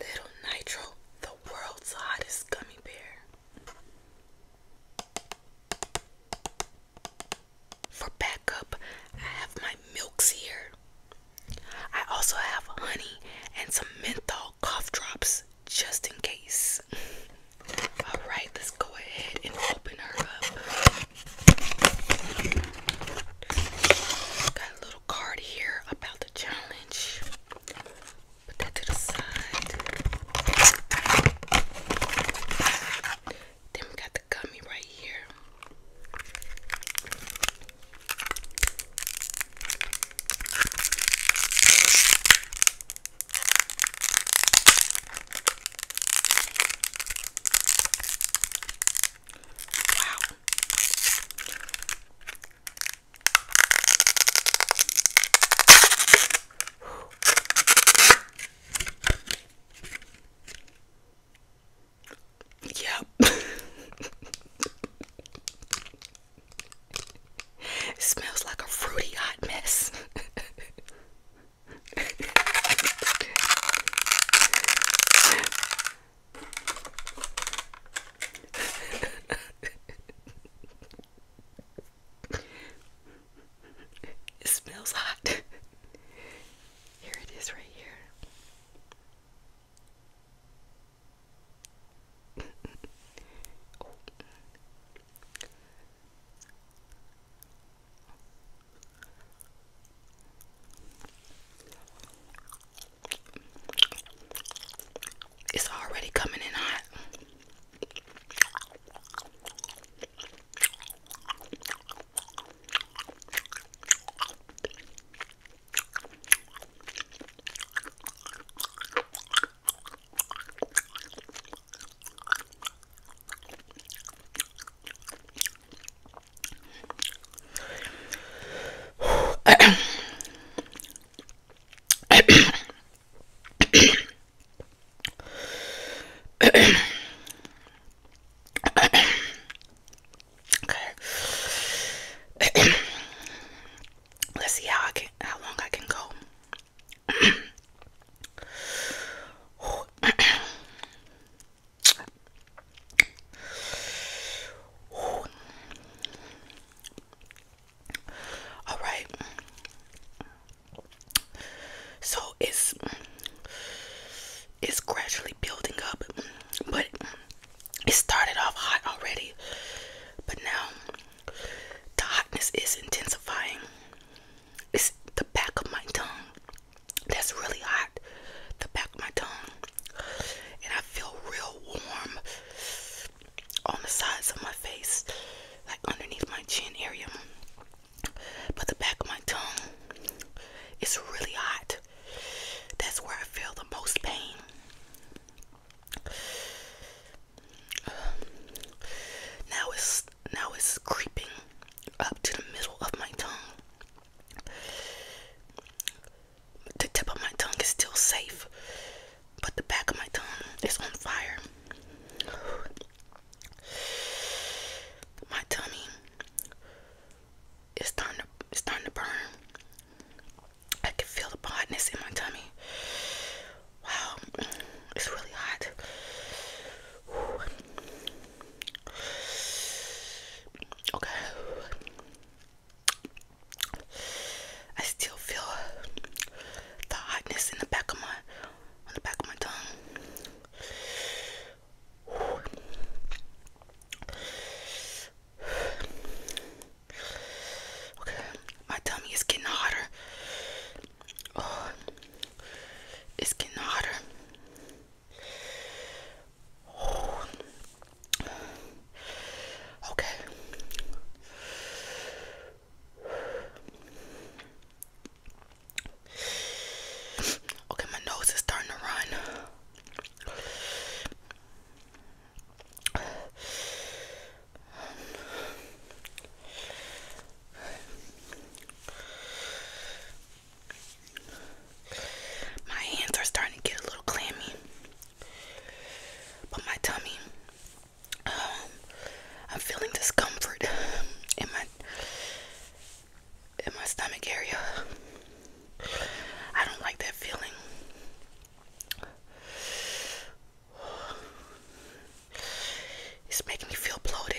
Little Nitro, the world's hottest gummy bear. For backup, I have my milks here. I also have honey and some menthol cough drops just in case. Alright, let's go ahead and open her up. Got a card here about the challenge. Put that to the side. Then we got the gummy right here. Wow. Yep. it smells like a fruity hot mess. it smells hot. Here it is, right here. It's already coming in hot. Let's see how I can how long I can go. All right. So it's it's gradually building up, but it started off hot already. But now the hotness is intensifying. It's the back of my tongue that's really hot. The back of my tongue and I feel real warm on the sides of my face, like underneath my chin area. But the back of my tongue is really hot. That's where I feel the most pain. Now it's now it's creeping up to the middle of my tongue the tip of my tongue is still safe, but the back of my tongue is on fire. My tummy is starting to it's starting to burn. I can feel the hotness in my tummy. Wow, it's really hot. Okay. I still feel the hotness in the back of my on the back of my tongue. Okay, my tummy is getting hotter. Oh, it's getting hotter. Okay. Okay, my nose is starting to run. My hands are starting to get a little clammy, but my tummy, um, I'm feeling discomfort in my in my stomach area. I don't like that feeling. It's making me feel bloated.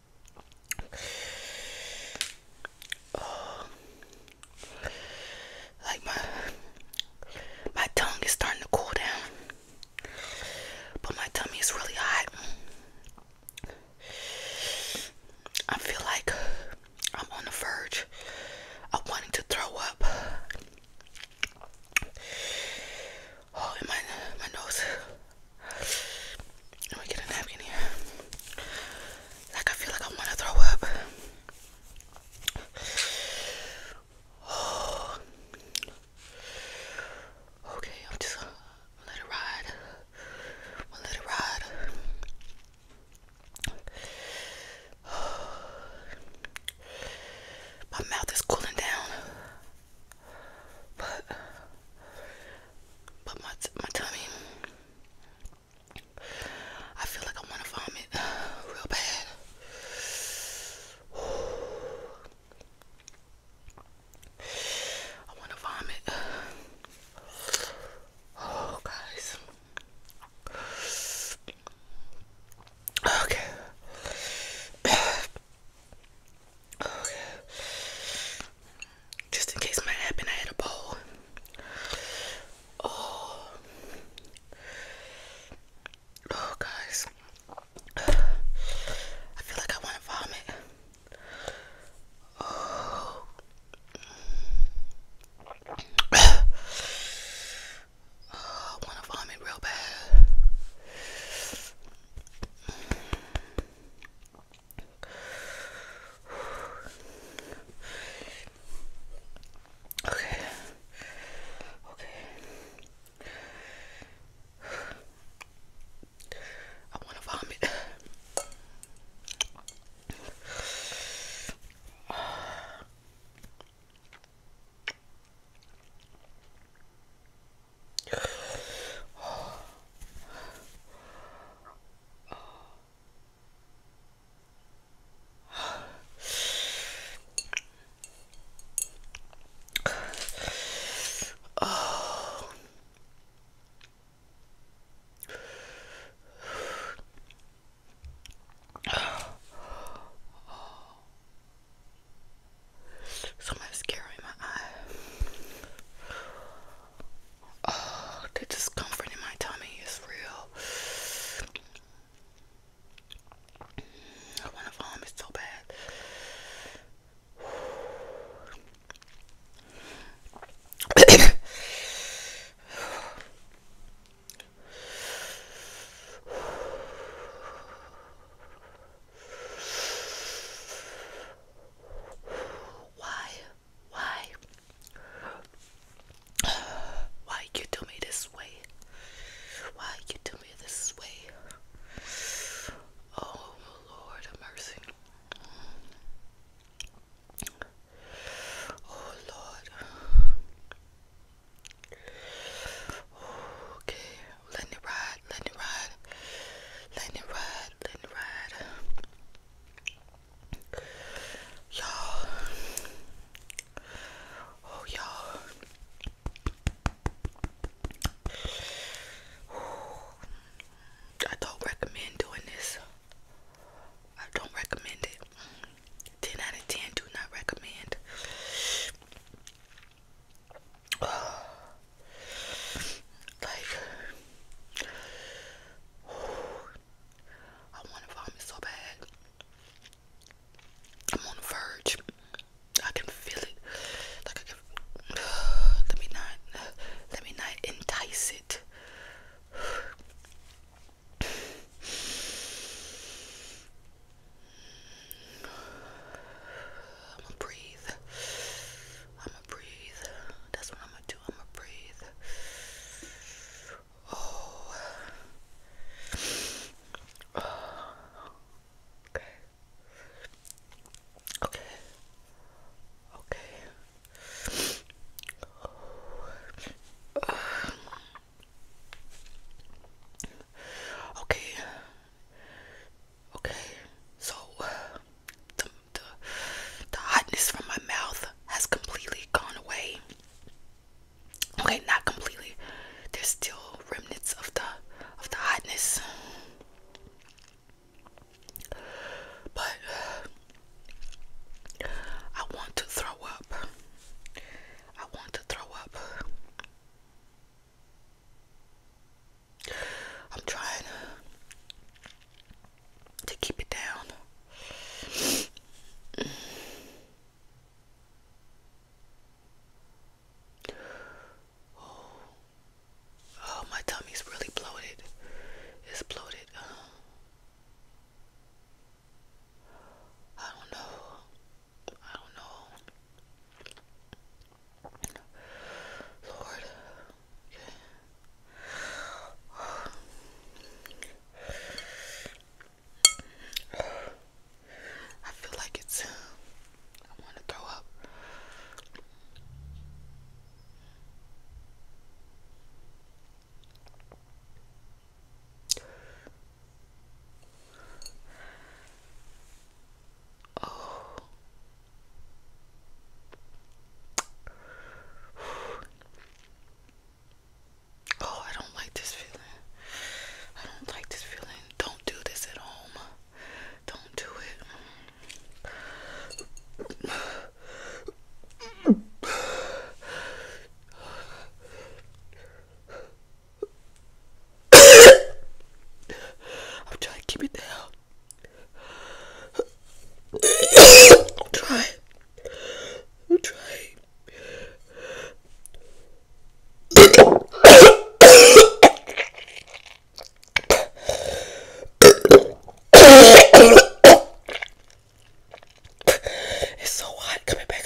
like my my tongue is starting to cool down, but my tummy is really hot. I feel like I'm on the verge of wanting to throw up. Oh, and my my nose let me get a napkin here. Like I feel like I want to throw up. Okay, I'm just gonna let it ride. i let it ride. My mouth is cooling down, but but my my tummy, I feel like I want to vomit real bad. I want to vomit. Oh, guys. Okay. Just in case might happen, I had a bowl. Oh, oh, guys, I feel like I want to vomit. Oh, I want to vomit real bad. Okay. Okay. I want to vomit. Oh. scaring my eye. Oh, the discomfort in my tummy is real. I want to vomit so bad. Why? Why? Why you do me this way? Why you do me this way? Oh Lord of mercy. Oh Lord. Okay, let me ride, let me ride, let me ride. Y'all. Oh, y'all. I don't recommend doing this. I don't recommend it. 10 out of 10 do not recommend. like I want to vomit so bad. I'm on the verge. I can feel it. let me not. let me not entice it. I'm gonna breathe. I'ma breathe. That's what I'ma do. I'ma breathe. Oh. Okay. Okay. Okay. Okay. Okay, so the, the the hotness from my mouth has completely gone away. Okay, not completely. There's still remnants of the of the hotness, but I want to throw up. I want to throw up. I'm trying to, keep it down. Oh. my tummy's really bloated. It's bloated. Uh, I don't know. I don't know. Lord, okay. I feel like it's. I want to throw up. Oh, Oh, I don't like this feeling. I don't like this feeling. Don't do this at home. Don't do it. I'm trying to keep it down try. try. it's so hot coming back.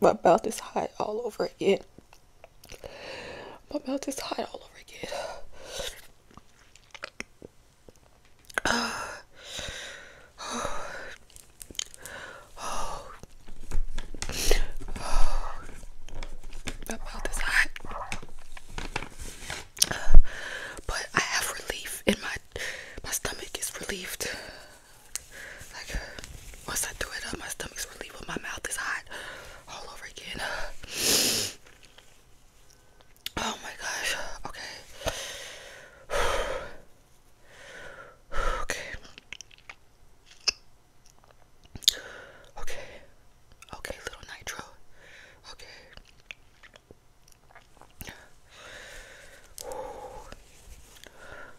my mouth is hot all over again. My mouth is hot all over again. My mouth is hot. But I have relief in my my stomach is relieved. Like once I threw it up, my stomach's relieved, but my mouth is hot all over again. Oh my gosh. Okay. Okay. Okay. Okay, little nitro. Okay.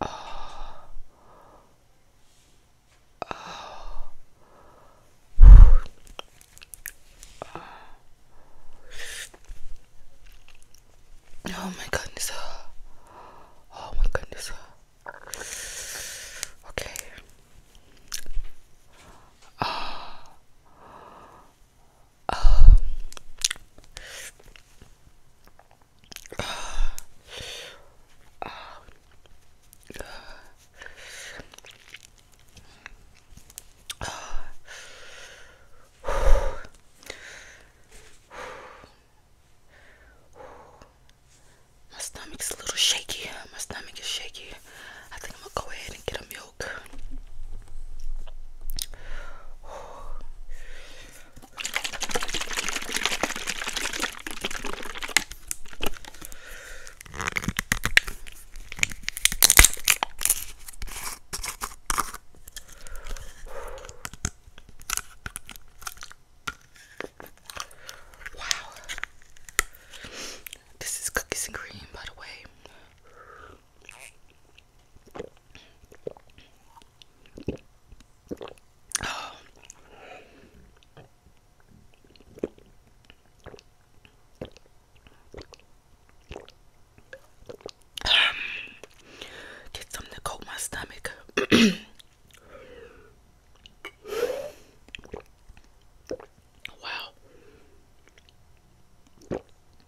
Oh. my goodness. Oh my goodness. Okay. Uh, uh, uh, my stomach's a little shaky. My stomach is shaky. I think I'm gonna go ahead and get a milk. Wow. This is cookies and cream, by the way. Get something to coat my stomach. wow.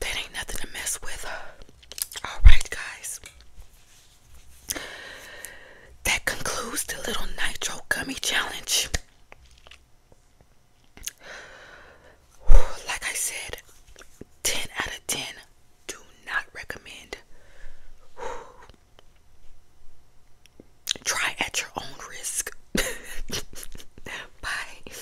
That ain't nothing to mess with. Uh. Alright, guys. That concludes the little nitro gummy challenge. Like I said, 10 out of 10. Do not recommend. Try at your own risk. Bye.